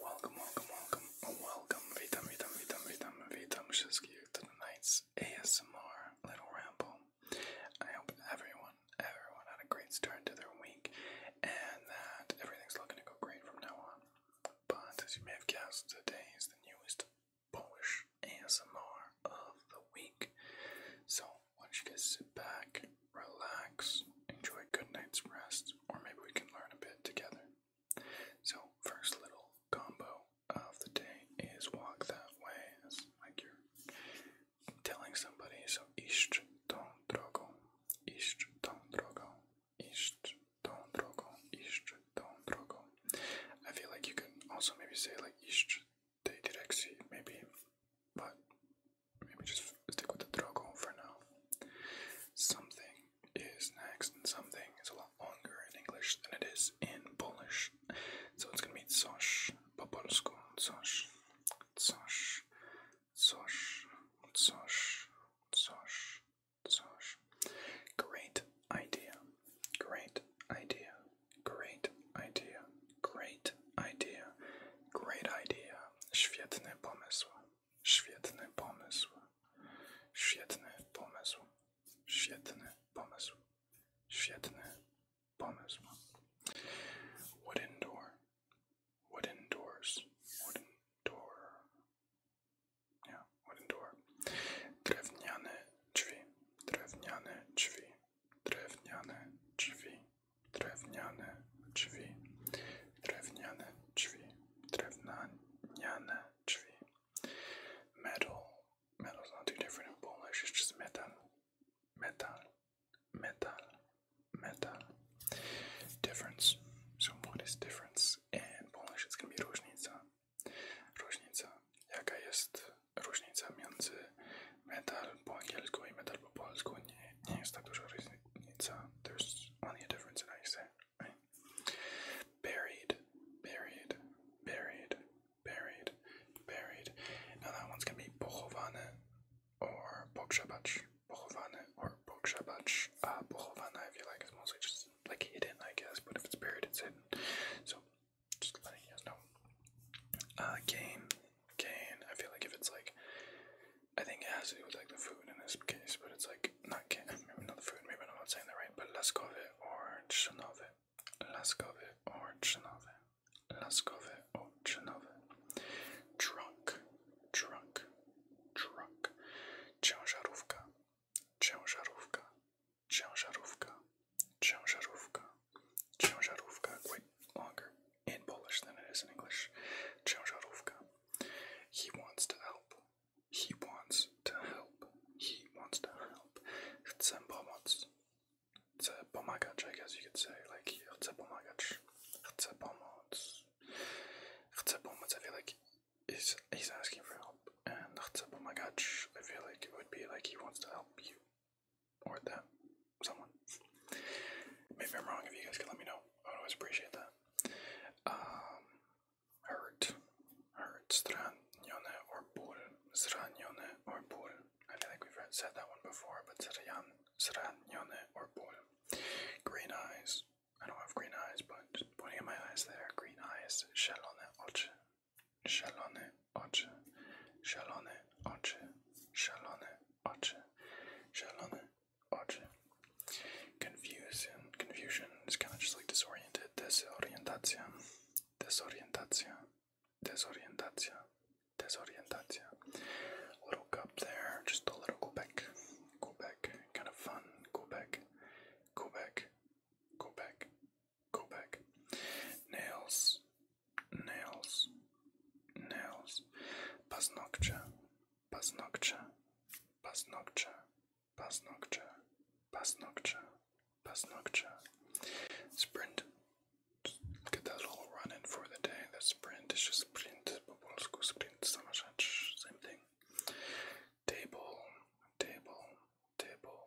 Welcome, welcome, welcome, welcome. Witam, witam, witam, witam, witam wszystkich to tonight's ASMR little ramble. I hope everyone, everyone had a great start to their week and that everything's looking to go great from now on. But as you may have guessed, today is the newest Polish ASMR of the week. So why don't you guys sit back, relax, enjoy a good night's rest, or maybe we can learn a bit together. So, first little combo of the day is walk that way. It's like you're telling somebody, so iść tą drogą, iść tą drogą, iść tą drogą, iść tą drogą. I feel like you can also maybe say like iść tej direccji, maybe, but maybe just stick with the Drogon for now. Something is next, and something is a lot longer in English than it is in Polish. So it's gonna be coś po polsku, coś, coś, coś, coś, Great idea, great idea, great idea, Great idea. Great idea. Świetny pomysł. Świetny pomysł. Świetny pomysł. Świetny pomysł. Świetny pomysł. Wooden door. Wooden doors. Wooden door. Yeah, wooden door. Drewniane drzwi. Drewniane drzwi. Drewniane drzwi drewniane drzwi, drewniane drzwi, drewniane drzwi. Metal, metal is not too different in Polish, it's metal, metal, metal, metal. Difference. So what difference in Polish? It's gonna be różnica. Różnica. Jaka jest There's only a difference in how Buried, buried, buried, buried, buried. Now that one's gonna be pochowane or pokrzebać, pochowane or pokrzebać. Uh, pochowane, if you like, is mostly just like hidden, I guess, but if it's buried, it's hidden. So just letting you guys Uh, Kane. Kane. I feel like if it's like, I think it has to do with like the food in this case, but it's like not Kane. Maybe not the food. Maybe I'm not saying that right. But Laskowy or Chinowy. Laskowy or Chinowy. Laskowy or Chinowy. Drunk. Drunk. Drunk. Ciężarówka. Ciężarówka ciężarówka, ciężarówka, ciężarówka, quite longer in Polish than it is in English, ciężarówka. He wants to help, he wants to help, he wants to help. Chcę pomóc, chcę pomagać, I guess you could say, like, chcę pomagać, chcę pomóc, chcę pomóc, I feel like he's, he's asking for help and that's oh my gosh, I feel like it would be like he wants to help you or them, someone. Maybe I'm wrong. If you guys could let me know, I would always appreciate that. Um, hurt, hurt, stranione or bur, stranione or bur. I feel like we've said that one before, but sran, stranione or bur. Green eyes. I don't have green eyes, but pointing at my eyes there. Green eyes. Shellone oche. Szalone oczy, szalone oczy, szalone oczy, szalone oczy. Confusion, confusion is kind of just like disoriented, desorientacja, desorientacja, desorientacja, desorientacja. A little cup there, just a little Quebec, Quebec, kind of fun, Quebec, Quebec, Quebec, Go back. Nails, nails, nails. Paznokcia, paznokcia, paznokcia, paznokcia, paznokcia, paznokcia. Sprint. Get that little run in for the day. That sprint is just sprint. Po polsku sprint, sama rzecz, same thing. Table, table, table,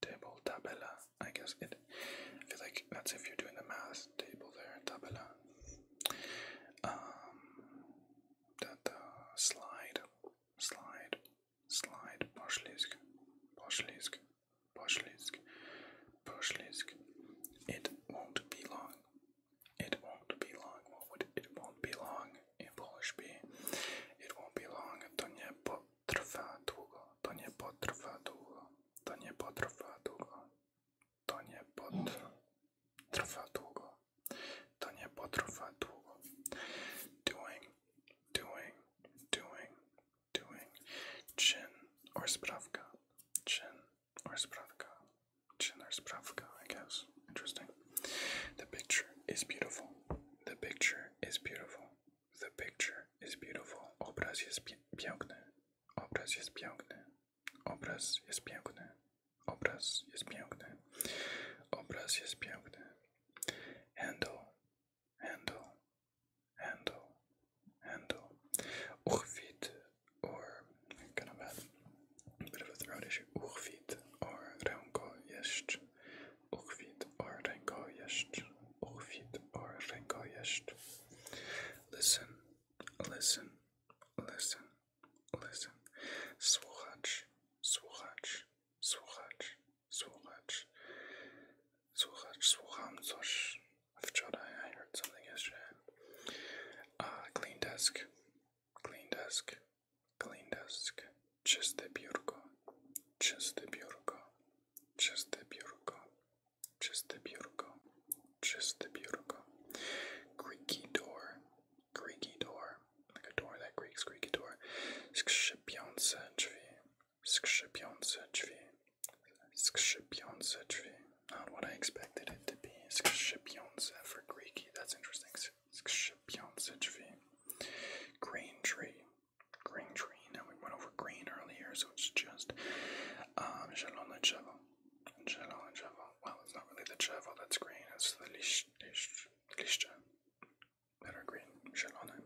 table, tabella. I guess it. I feel like that's if you're doing the math. Table there, tabella. Um, that the slide, slide, slide. Poshlisk, poshlisk, poshlisk, poshlisk. It won't be long. It won't be long. What would it won't be long? i połóż mi. It won't be long. To nie potrwa długo. To nie potrwa długo. To nie potrwa długo. To nie potrwa długo. To nie potrwa długo. Doing, doing, doing, doing. Chin or sprawka. Chin or sprawka. Schindler's Pravka, I guess. Interesting. The picture is beautiful. The picture is beautiful. The picture is beautiful. Obraz jest piękny. Obraz jest piękny. Obraz jest piękny. Obraz jest piękny. Obraz jest piękny. Handle, handle, handle, handle. Uchwyt or kind of a bit of a throat issue. Uchwit or ręko jest. Uchwit or ręko jest. Uchwit or ręko jest. Listen, listen, listen, listen. Słuchacz, słuchacz, słuchacz, słuchacz. Słuchacz, słucham coś. Wczoraj I heard something yesterday. Uh, clean desk, clean desk, clean desk, чисте biurko, чисте biurko, чисте biurko, чисте biurko, чисте biurko. Creaky door, creaky door, like a door that creaks, creaky door. Skrzypiące drzwi, skrzypiące drzwi, skrzypiące drzwi not what I expected it to be. Skshipionsa for Greeky, that's interesting. Skshipionsichvi. Green tree. Green tree. Now we went over green earlier, so it's just um Shalona Chevo. Shalona Chevo. Well, it's not really the Chevo that's green, it's the Lish Lish Lishcha. That are green. Shalona.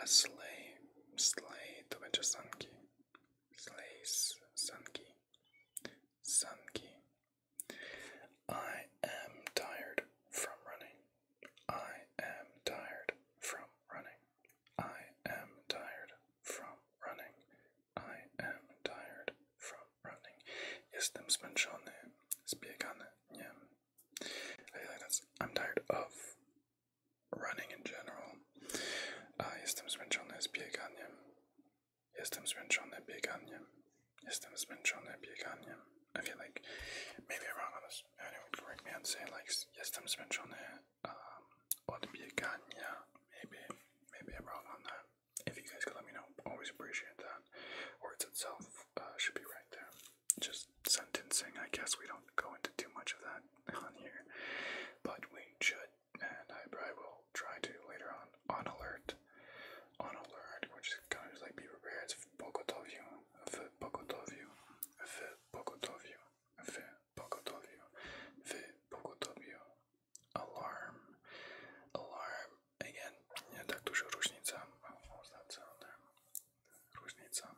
A sleigh. Sleigh to Sanki slays some key. I am tired from running. I am tired from running. I am tired from running. I am tired from running. Jestem zmęczony, zbiegany, nie. I feel like that's I'm tired of running in general. Jestem ah, zmęczony z bieganiem. Jestem zmęczony bieganiem. Jestem zmęczony bieganiem. I feel like maybe I'm wrong on this. Anyone would correct me and say like jestem zmęczony um, od biegania. Maybe, maybe I'm wrong on that. If you guys could let me know, always appreciate that. Words itself uh, should be right there. Just sentencing. I guess we don't go into too much of that on here, but we should, and I probably will try to later on. On alert, on alert, which is kind of just like be prepared. If Bogotovio, if Bogotovio, if Bogotovio, if Bogotovio, if Bogotovio, alarm, alarm. Again, nie tak dużo różnica. What was that sound there? Różnica.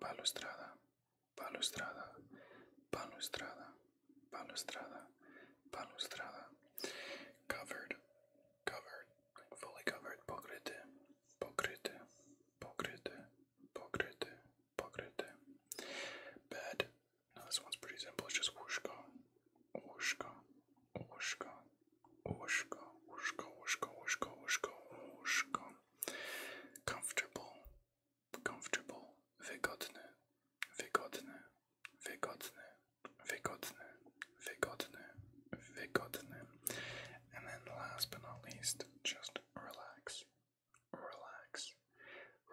balustrada, balustrada, balustrada, balustrada, balustrada, covered, covered, fully covered, pokryty, pokryty, pokryty, pokryty, pokryty, bed. Now this one's pretty simple. It's just łóżko, łóżko, łóżko, łóżko, łóżko, łóżko, łóżko, łóżko, łóżko. Comfortable, comfortable, wygodny, wygodny, wygodny, wygodny, wygodny, wygodny. And then last but not least, just relax, relax,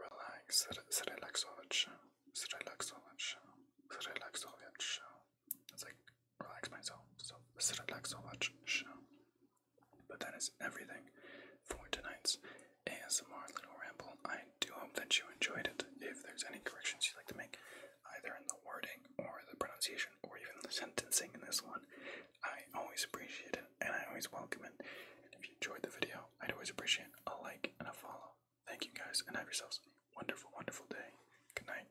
relax, zrelaksować się, zrelaksować się, zrelaksować się. It's like relax myself. So I didn't watch so much. But that is everything for tonight's ASMR little ramble. I do hope that you enjoyed it. If there's any corrections you'd like to make, either in the wording or the pronunciation or even the sentencing in this one, I always appreciate it and I always welcome it. And if you enjoyed the video, I'd always appreciate a like and a follow. Thank you guys and have yourselves a wonderful, wonderful day. Good night.